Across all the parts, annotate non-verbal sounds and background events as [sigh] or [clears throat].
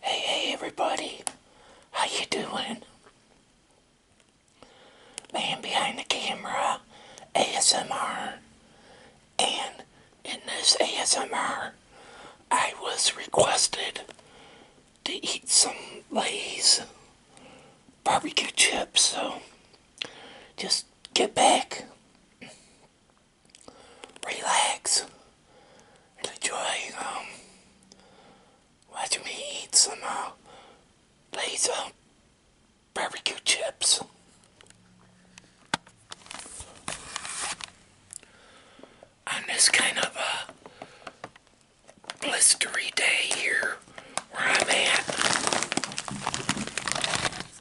Hey, hey, everybody. How you doing? Man behind the camera, ASMR. And in this ASMR, I was requested to eat some Lay's barbecue chips, so just get back relax enjoy um, me eat some uh, Lay's uh, barbecue chips. On this kind of a blistery day here where I'm at.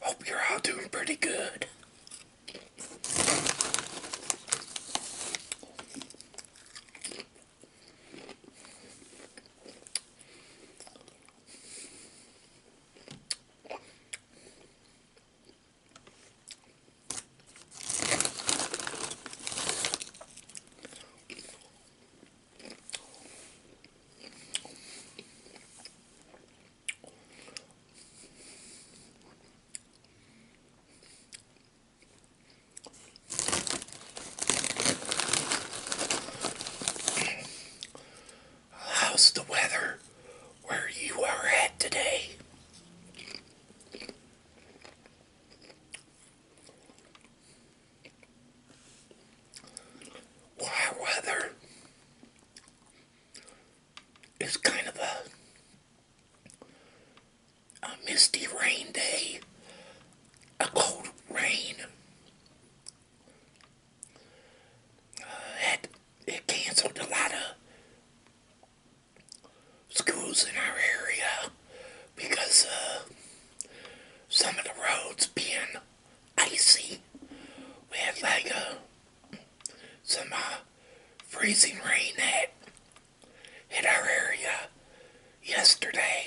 Hope you're all doing pretty good. How's the weather where you are at today? Wow, weather it's kind of a, a misty rain day, a cold rain. it, uh, it canceled a lot of schools in our area because uh, some of the roads being icy with like a, some uh, freezing rain that hit our area yesterday.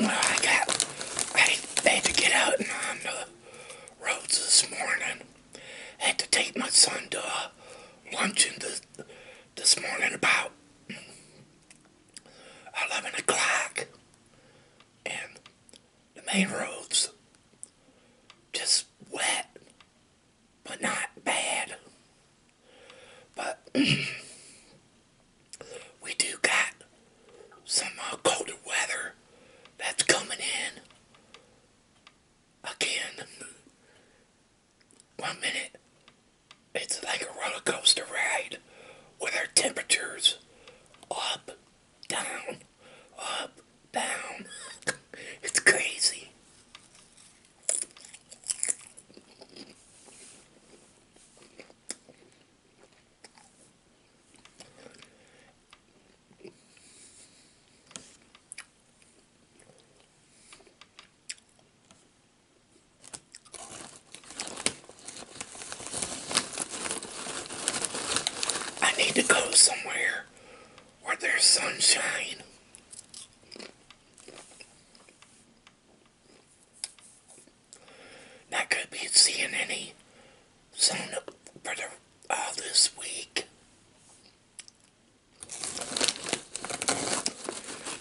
I got, I had to get out and on um, the roads this morning. I had to take my son to uh, this, this morning about 11 o'clock. And the main roads just wet, but not bad. But [clears throat] we do got some uh, colder weather that's coming in again. One minute, it's like a roller coaster ride with our temperatures up down, up, down. it's crazy. I need to go somewhere where there's sunshine. Not going to be seeing any sun for the, uh, this week.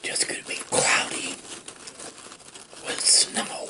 Just going to be cloudy with snow.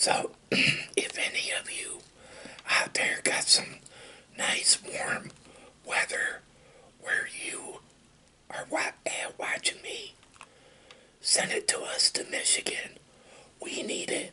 So, [clears throat] if any of you out there got some nice warm weather where you are wa watching me, send it to us to Michigan. We need it.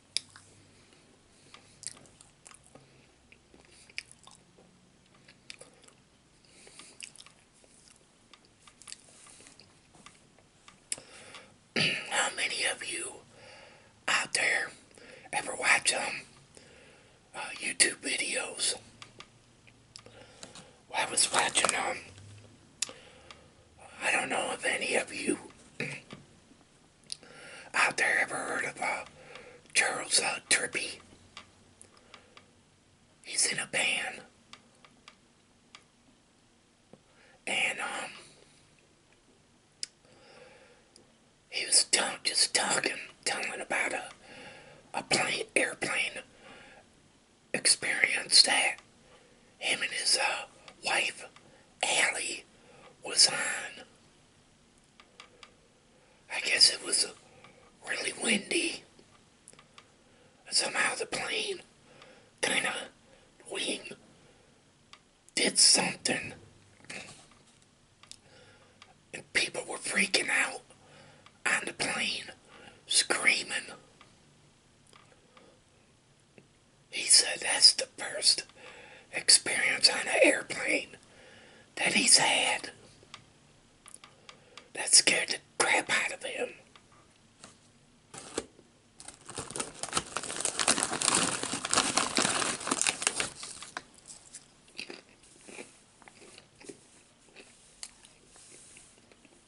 How many of you out there ever watch um, uh, YouTube videos? I was watching um, I don't know if any of you out there ever heard of uh, Charles uh, Trippy. He's in a band. And, um, he was just talking, telling about a, a plane, airplane experience that him and his uh, wife Allie was on. I guess it was uh, really windy. Somehow the plane kind of wing did something. And people were freaking out on the plane, screaming. He said that's the first experience on an airplane that he's had. That scared the crap out of him.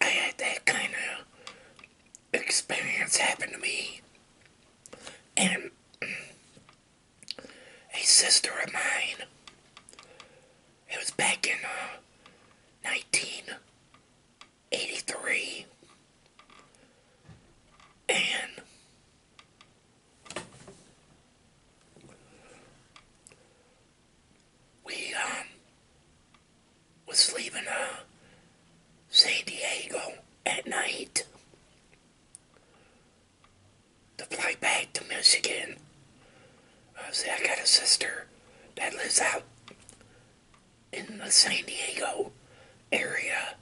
I had that kind of experience happen to me. And a sister of mine, it was back in 1983, uh, and we um was leaving uh San Diego at night to fly back to Michigan. Uh, see, I got a sister that lives out in the San Diego area.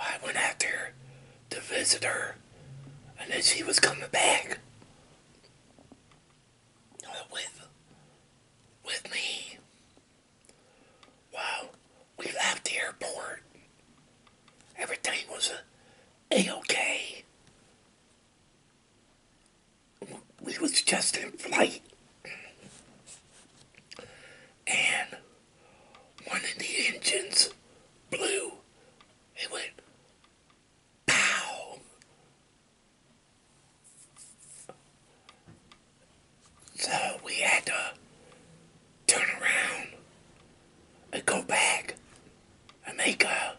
I went out there to visit her, and then she was coming back with with me. Wow, we left the airport. Everything was a okay. We was just in flight, and one of the engines blew. It went pow. So we had to turn around and go back and make a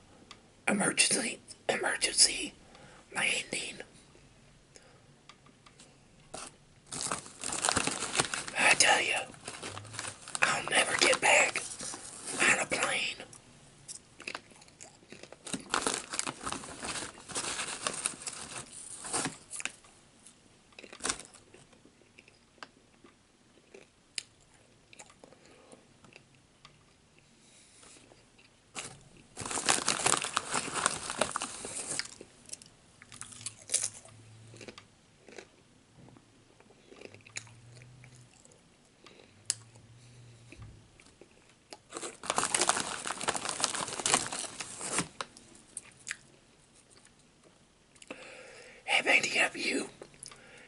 emergency emergency landing I tell you, I'll never get back on a plane. Have any of you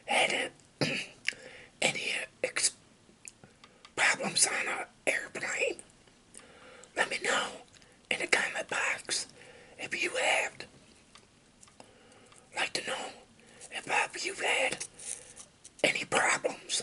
had any problems on an airplane? Let me know in the comment box if you have like to know if I've, you've had any problems.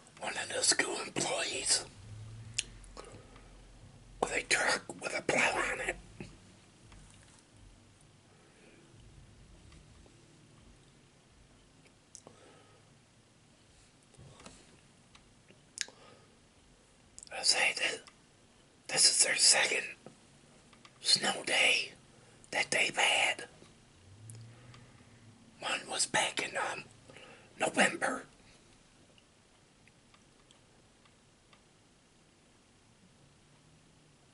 one of the school employees with a truck with a plow on it. I say that this is their second snow day that they've had. One was back in um, November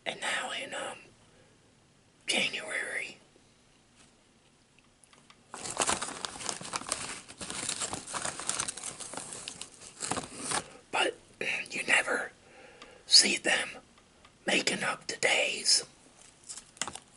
and now in um, January, but you never see them making up the days.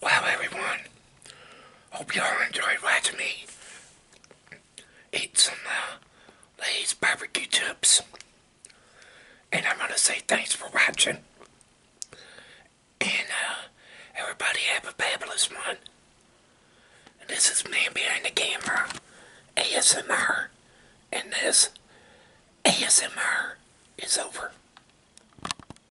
Wow, everyone. Hope y'all enjoyed watching me eat some of uh, these barbecue chips. And I'm going to say thanks for watching. And uh, everybody have a fabulous one. this is Man Behind the Camera ASMR. And this ASMR is over.